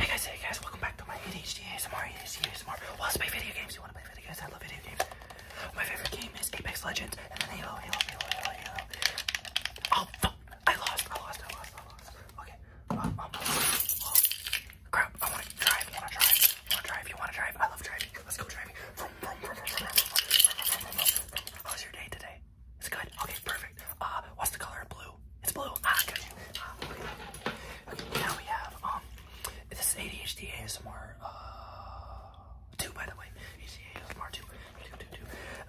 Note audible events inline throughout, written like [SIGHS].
Hey guys, hey guys, welcome back to my ADHD ASMR, ADHD ASMR. Well, let's play video games. You wanna play video games? I love video games. My favorite game is Apex Legends and then Halo, Oh, I lost, I lost, I lost, I lost. Okay. I wanna drive, I wanna drive, I wanna drive, you wanna drive? I love driving. Let's go driving. How was your day today? It's good. Okay, perfect. Uh, what's the color of blue? blue. It's blue. Ah, got you. Ah, okay. okay, now we have um, this is ADHD ASMR uh two by the way. ADHD ASMR two, two, two, two.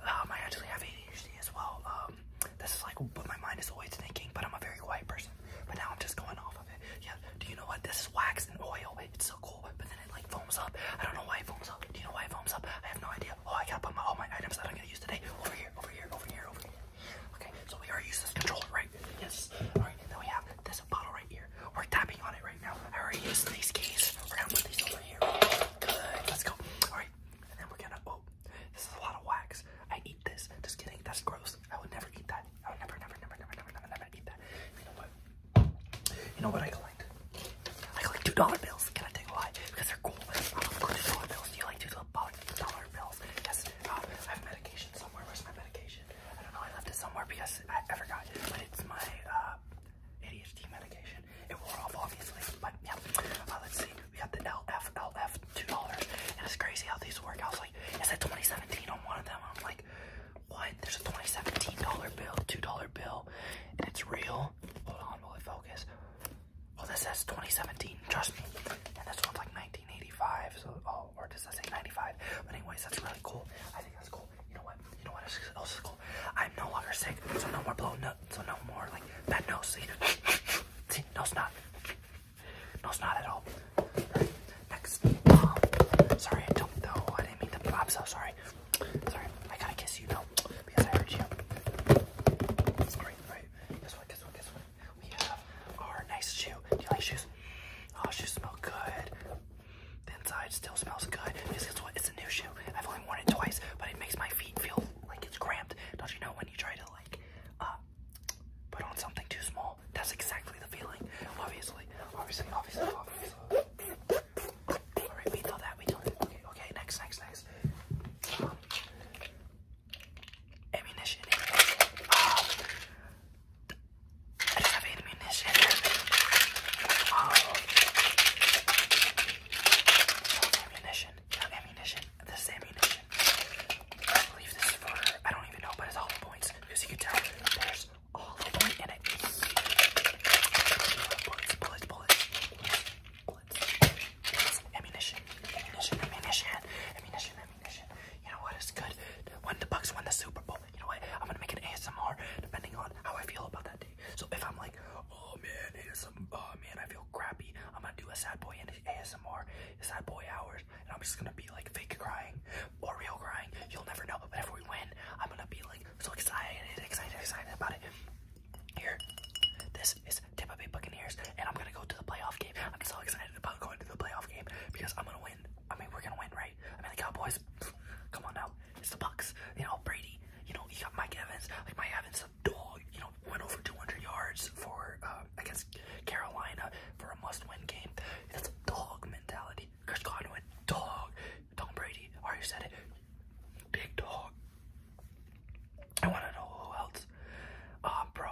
Um, I actually have ADHD as well. Um, this is like what my mind is always thinking, but I'm a very quiet person. But now I'm just going off of it. Yeah. Do you know what? This is wax and oil. It's so cool, but then it like foams up. I don't know why it foams up. Do you know why it foams up? I have no idea. Oh, I gotta put my, all my items that I'm gonna use today over here, over here, over here, over here. Okay, so we already used this controller, right? Yes. Alright, and then we have this bottle right here. We're tapping on it right now. I already used these keys. We're gonna put these over here. Good, let's go. Alright, and then we're gonna, oh, this is a lot of wax. I eat this. Just kidding, that's gross. I would never eat that. I would never, never, never, never, never, never, never eat that. You know what? You know what I collect? I collect $2 bills. Can I take a lie? Because they're cool. I love $2 bills. Do you like $2 bills? dollar bills. Yes, um, I have medication somewhere. Where's my medication? I don't know. I left it somewhere because I, I forgot. But it's my uh, ADHD medication. It wore off, obviously. But yeah, uh, let's see. We got the LF, LF, two dollars. And it's crazy how these work. I was like, it said 2017 on one of them. I'm like, what? There's a 2017 dollar bill, two dollar bill, and it's real. Hold on, will it focus? Well, this says 2017, trust me. And this one's like 1985, so, oh, or does that say 95? But anyways, that's really cool. I think that's cool. You know what? You know what else is cool? I'm no longer sick, so no more blowing nut, so no more, like, that nose, see? see? No snot. No snot at all. next. sorry, I don't know. I didn't mean to, pop. so sorry. Sorry, I gotta kiss you, no, because I hurt you. Sorry, right, right. Guess what? Guess what? Guess We have our nice shoe. Do you like shoes? Oh, shoes smell good. The inside still smells good. Because guess what? It's a new shoe. I've only worn it twice, but it makes my feet feel like it's cramped. Don't you know when you try to like uh, put on something too small? That's exactly the feeling. Obviously, obviously, obviously, obviously. Alright, we did that, we did it. Okay, okay, next, next, next ammunition. Um, I ammunition. Um, ammunition. Yeah, ammunition. This ammunition. I believe this is for, I don't even know, but it's all points. Because you can tell there's all the point in it. Bullets, bullets, bullets bullets, bullets, ammunition, ammunition, ammunition, ammunition, ammunition. You know what is good? When the Bucks win the Super Bowl, you know what? I'm gonna make an ASMR depending on how I feel about that day. So if I'm like, oh man, ASMR, oh man, I feel crappy, I'm gonna do a sad boy and ASMR, sad boy hours, and I'm just gonna be like fake crying or real crying. You'll never know. But if we win, I'm gonna be like so excited, excited, excited about it. Here, this is Tampa Bay Buccaneers, and I'm gonna go to the playoff game. I'm so excited about going to the playoff game because I'm gonna win. I mean, we're gonna win, right? I mean, the Cowboys. Come on now, it's the Bucks. You know, Brady. You know, you got Mike Evans. Like Mike Evans, a dog. You know, went over 200 yards for uh, against Carolina for a must-win game. That's a dog mentality. Chris Godwin, dog. Tom Brady, already said it. Big dog. I want to know who else. Um, bro,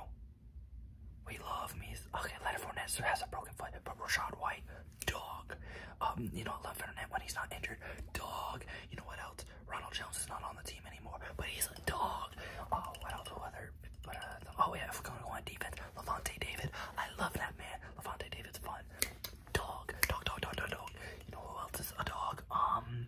we love me. Okay, Leonard Fournette has a broken foot, but Rashad White, dog. Um, you know, I love Fournette when he's not injured, dog. You know what else? Ronald Jones is not on the team anymore, but he's a dog. Oh, what else? What other? Uh, oh yeah, if we're gonna go on defense, Levante David. I love that man. Levante David's fun. dog, dog, dog, dog, dog. You know who else is a dog? Um,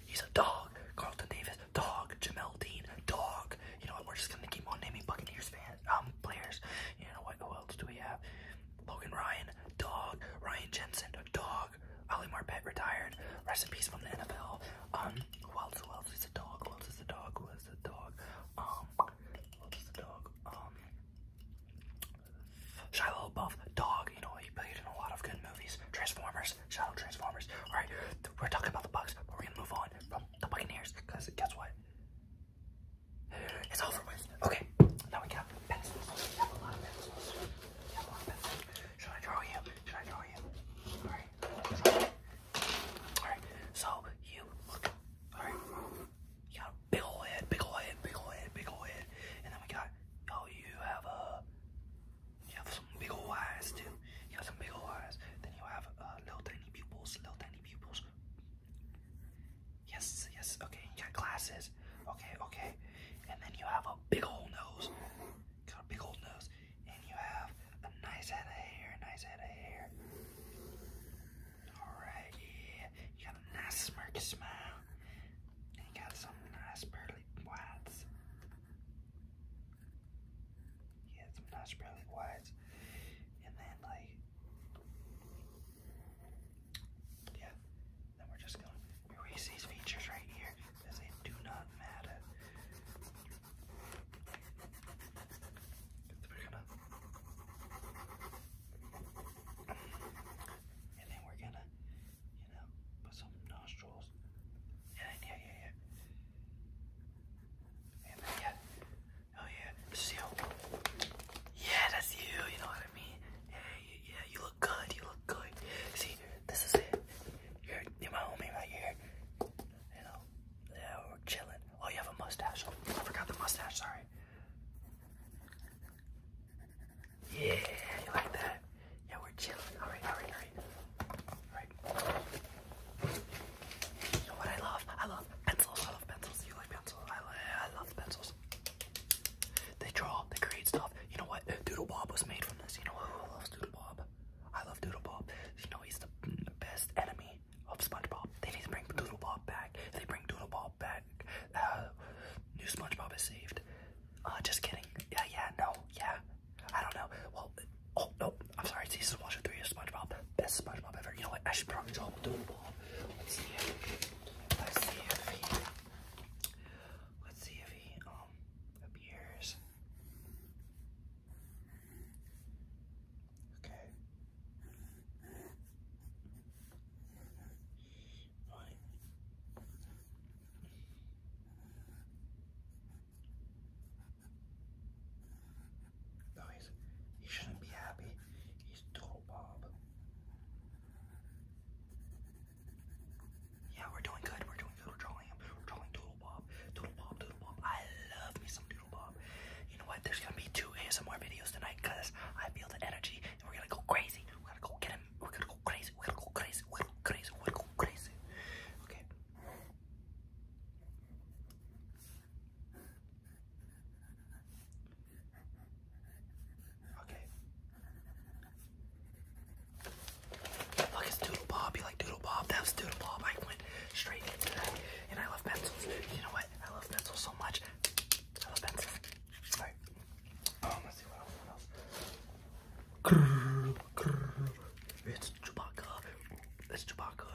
he's a dog. Carlton Davis, dog. Jamel Dean, dog. You know what? We're just gonna keep on naming Buccaneers fans, um, players. You know what? Who else do we have? Logan Ryan, dog. Ryan Jensen, dog. Ali Marpet retired. Rest in peace from the NFL. Um, who else? Who else is a dog? Who else is a dog? Who else is a dog? Um, who else is a dog? Um, Shiloh Buff, dog. You know he played in a lot of good movies. Transformers, Shadow Transformers. All right, we're talking about the Bucks, but we're gonna move on from the Buccaneers because guess what? It's over with. Okay, now we got pencils. We have a lot of pencils. We have a lot of pencils. Should I draw you? Should I draw you? All right. All right. So you look. All right. You got a big ol' head, big ol' head, big ol' head, big ol' head, and then we got. Oh, you have a you have some big old eyes too. You have some big old eyes. Then you have uh, little tiny pupils, little tiny pupils. Yes, yes, okay, you got glasses. Okay, okay. And then you have a big old nose. Got a big old nose. And you have a nice head of hair, nice head of hair. Alright, yeah. You got a nice smirky smile. And you got some nice pearly whites. He had some nice And then, like, yeah. Then we're just going to erase these features right here because they do not matter. we and then we're gonna, you know, put some nostrils yeah, yeah, yeah, yeah. And yeah. Oh yeah, this you. Yeah, that's you. You know what I mean? Yeah, yeah, You look good. You look good. See, this is it. You're, you're my homie right here. You know, yeah, we're chilling. Oh, you have a mustache. I forgot the mustache. Sorry. Yeah, you like that? Yeah, we're chilling. All right, all right, all right. All right. So what I love, I love pencils. I love pencils. You like pencils? I, I love pencils. They draw. They create stuff. You know what? Doodle Bob was made from this. You know who loves Doodle Bob? I love Doodle Bob. You know he's the best enemy of SpongeBob. They need to bring Doodle Bob back. They bring Doodle Bob back. Uh, new SpongeBob is saved. Uh, just kidding. Yeah, yeah, no, yeah. I don't know. Well, oh, no, I'm sorry. It's season washer 3 of SpongeBob. Best SpongeBob ever. You know what? I should probably double Let's see let's see if he, let's see if he, um, appears. Okay. Right. No, he's, he shouldn't be happy. He's total Bob. Yeah, we're doing good. We're doing good. We're trolling him. We're trolling Doodle Bob. Doodle Bob, Doodle Bob. I love me some Doodle Bob. You know what? There's gonna be two ASMR videos tonight I feel the energy and we're gonna go crazy. We're gonna go get him. We're gonna go crazy crazy, we're going go crazy, we're go crazy, we're go crazy. Okay. Okay. Look, it's Doodle Bob. You like Doodle Bob? That was Doodle Bob. I went straight into that. And I love pencils. You know what? I love pencils so much. I love pencils. Alright. Um, let's see What else? It's Chewbacca. It's Chewbacca.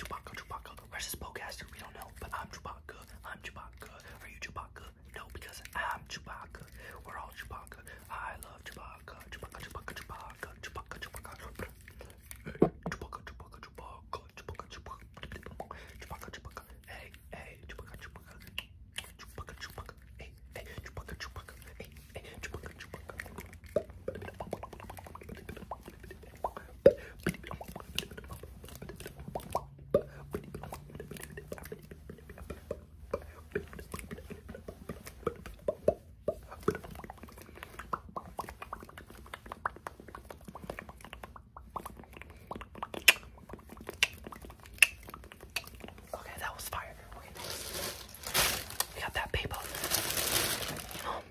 Chewbacca, Chewbacca. Where's this podcaster? We don't know, but I'm Chewbacca. I'm Chewbacca. Are you Chewbacca? No, because I'm Chewbacca. We're all Chewbacca. I love Chewbacca. Chewbacca, Chewbacca, Chewbacca. Chewbacca, Chewbacca. Chewbacca, Chewbacca, Chewbacca. Chewbacca, Chewbacca, Chewbacca. Hey, hey, Chewbacca, Chewbacca. Chewbacca, Chewbacca, hey, hey, Chewbacca, Chewbacca, hey, hey, Chewbacca, Chewbacca. Okay, that was fire. We got that paper. Um,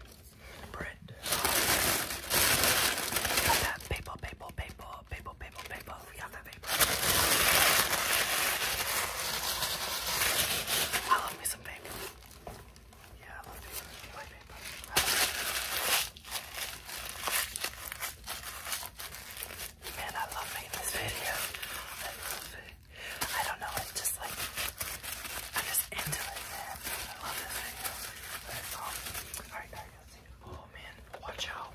paper, paper, paper, paper, paper, paper. We got that paper. I love me some paper. Yeah, I love paper. I love paper. Man, I love making this video. I love it. I don't know, it's just like, I'm just into it, I love this video. But all, all right, now you can see. Oh, man, watch out.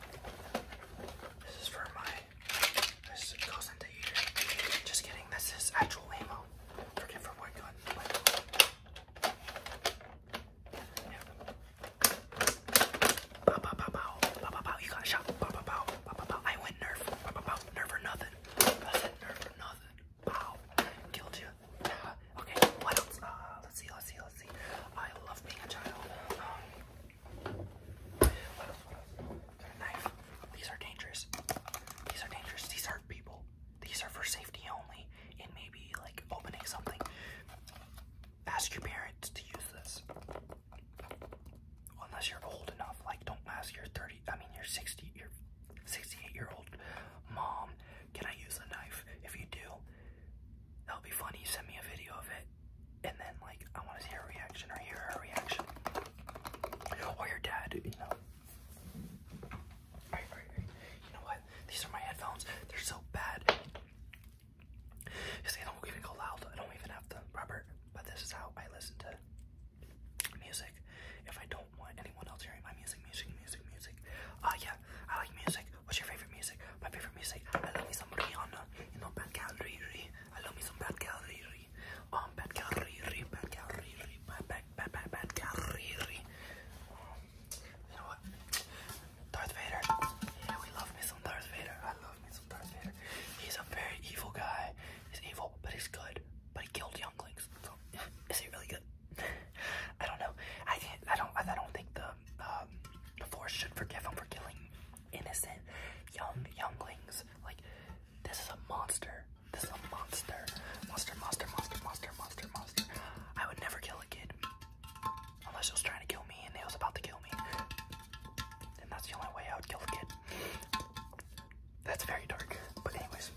This is for my, this goes into here. Just kidding, this is actual ammo. Forget for what gun. Bow, bow, bow, bow. Bow, bow, You gotta shout. Bow, bow, bow. Bow, bow, I went nerf. Bow, bow, Nerf or nothing. nerf or nothing. Bow. Killed you. Uh, [SIGHS] okay, what else? Uh, let's see, let's see, let's see. I love being a child. Um, what else, knife. These are dangerous. These are dangerous. These are people. These are for safety only. And maybe, like, opening something ask your parents to use this. Unless you're old enough, like don't ask your 30, I mean your 60, your 68 year old mom, can I use a knife? If you do, that'll be funny. Send me a video of it. And then like, I want to see a reaction or hear a reaction. Or your dad, you know. You know what? These are my headphones. They're so bad. You see, I don't even go loud. I don't even have the rubber. But this is how I listen to music. If I don't want anyone else hearing my music, music, music, music. Uh, yeah, I like music. What's your favorite music? My favorite music. I love me some Rihanna. You know, Bad Gal Riri. I love me some Bad Gal Riri. Um, Bad Gal Riri. Bad Gal Riri. Bad, bad, bad, bad, bad Gal Riri. Um, you know what? Darth Vader. Yeah, we love me Darth Vader. I love me Darth Vader. He's a very evil guy. He's evil, but he's good. But he killed younglings. So, [LAUGHS] is he really good? [LAUGHS] I don't know. I can't. I don't. I don't think the um, the Force should forgive him for killing innocent young younglings. Like this is a monster. This is a monster. Monster. Monster. Monster. Monster. Monster. Monster. I would never kill a kid. Unless he was trying to kill me and he was about to kill me. And that's the only way I would kill the kid. That's very dark. But anyways.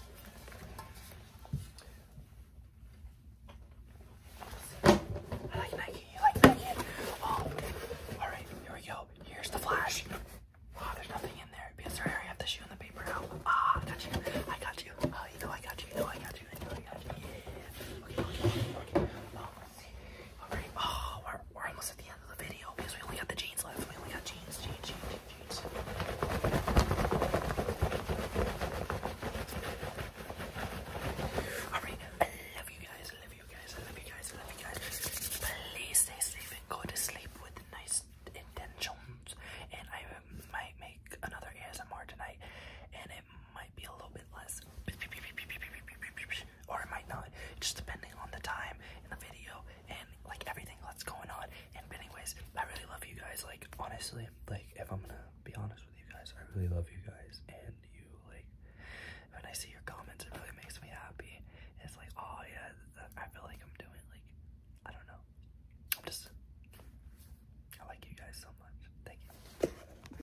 I like Nike, I like Nike. Oh, alright, here we go. Here's the flash. Oh, there's nothing in there. Because sorry, I have to shoot in the paper now. Ah, got you. I got you. Oh, you know I got you. You know I got you. You know I got you. Yeah. Oh. Alright, oh, we're, we're almost at the end of the video because we only got the jeans left. We only got jeans, jeans, jeans, jeans. Alright, I love you guys, I love you guys, I love you guys, I love you guys. Please stay safe and go to sleep with nice intentions. And I might make another ASMR tonight. And it might be a little bit less, or it might not, just depending on the time in the video and like everything that's going on. And anyways, I really love you guys. Like honestly, like if I'm gonna be honest with you guys, I really love you guys. And you like when I see your comments, it really makes me happy. it's like oh yeah, I feel like I'm doing like I don't know. I'm just I like you guys so much. Thank you.